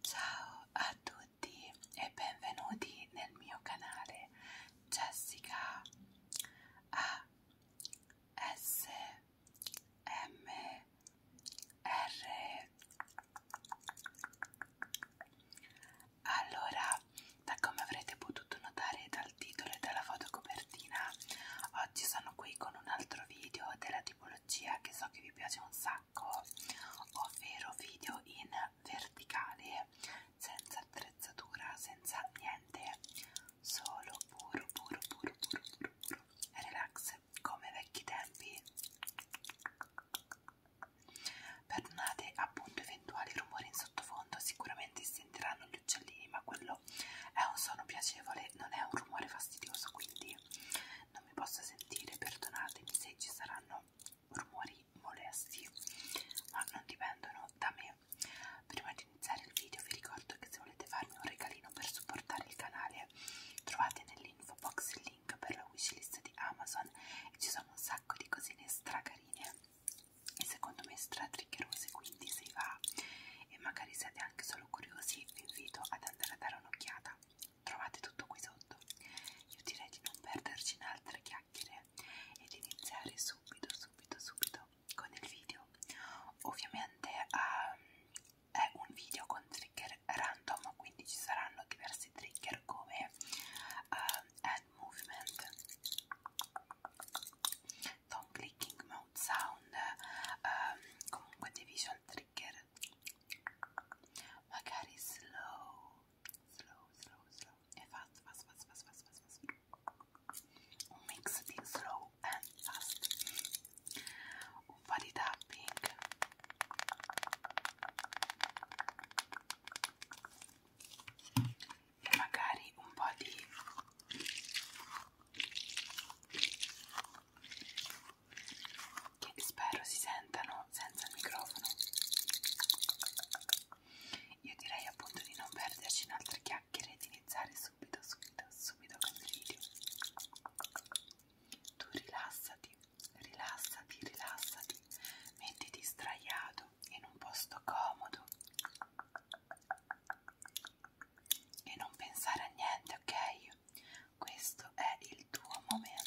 Ciao a tutti e benvenuti nel mio canale Jessica A S M R allora, da come avrete potuto notare dal titolo e dalla fotocopertina, oggi sono qui con un altro video della tipologia che so che vi piace un sacco, ovvero video in verticale, senza attrezzatura, senza niente, solo puro, puro, puro, puro, puro, puro relax, come vecchi tempi. Perdonate appunto eventuali rumori in sottofondo, sicuramente si sentiranno gli uccellini, ma quello è un suono piacevole, non è un rumore fastidioso, quindi non mi posso sentire, perdonatemi se ci saranno rumori molesti, ma non dipendono da me. Prima di iniziare il video vi ricordo che se volete farmi un regalino per supportare il canale trovate nell'info box il link per la wishlist di Amazon e ci sono un sacco sacco di cosine stracarine e secondo me stratriccherose quindi se va e magari siete anche solo curiosi vi invito ad andare a dare un'occhiata trovate tutto qui sotto io direi di non perderci in altre chiacchiere e di iniziare subito subito subito con il video ovviamente um, è un video con trigger random quindi ci saranno diversi trigger come uh, hand movement, thumb clicking, mouth sound, um, comunque dei trigger, magari slow, slow, slow, slow, e fast, fast, fast, fast, fast, fast, fast. un mix di slow and fast, un po' di tapping e magari un po' di che spero si sentano senza il microfono io direi appunto di non perderci in altre chiacchiere e di iniziare subito subito subito con il video tu rilassati, rilassati, rilassati, mettiti sdraiato in un posto comodo e non pensare a niente, ok? Questo è il tuo momento.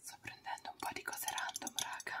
Sto prendendo un po' di cose random, raga.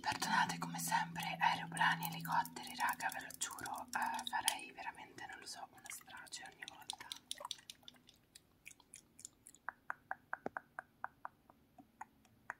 Perdonate come sempre aeroplani, elicotteri, raga, ve lo giuro, eh, farei veramente, non lo so, una strage ogni volta.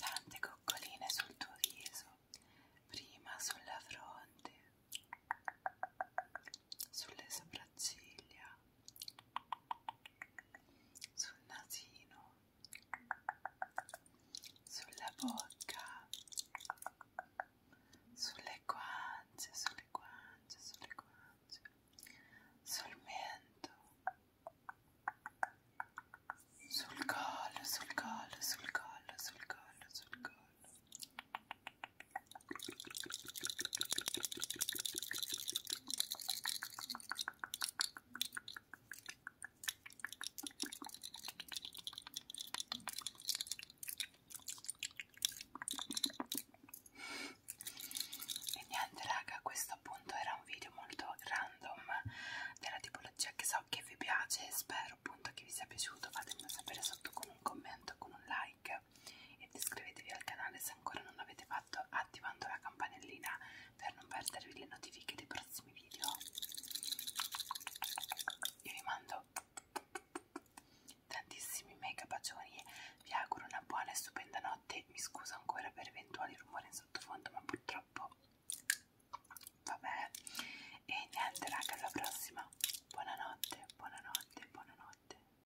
Tante coccoline sul tuo viso, prima sulla fronte, sulle sopracciglia sul nasino, sulla bocca, sulle guance, sulle guance, sulle guance, sul mento, sul collo, sul collo, sul collo, sul collo, sul collo. E niente raga, questo appunto era un video molto random della tipologia che so che vi piace, spero appunto che vi sia piaciuto, fatemelo sapere sotto con un commento, con un like video ed iscrivetevi al canale se ancora non l'avete fatto attivando la campanellina per non perdervi le notifiche dei prossimi video io vi mando tantissimi mega bacioni vi auguro una buona e stupenda notte mi scuso ancora per eventuali rumori in sottofondo ma purtroppo vabbè e niente raga alla prossima buonanotte buonanotte buonanotte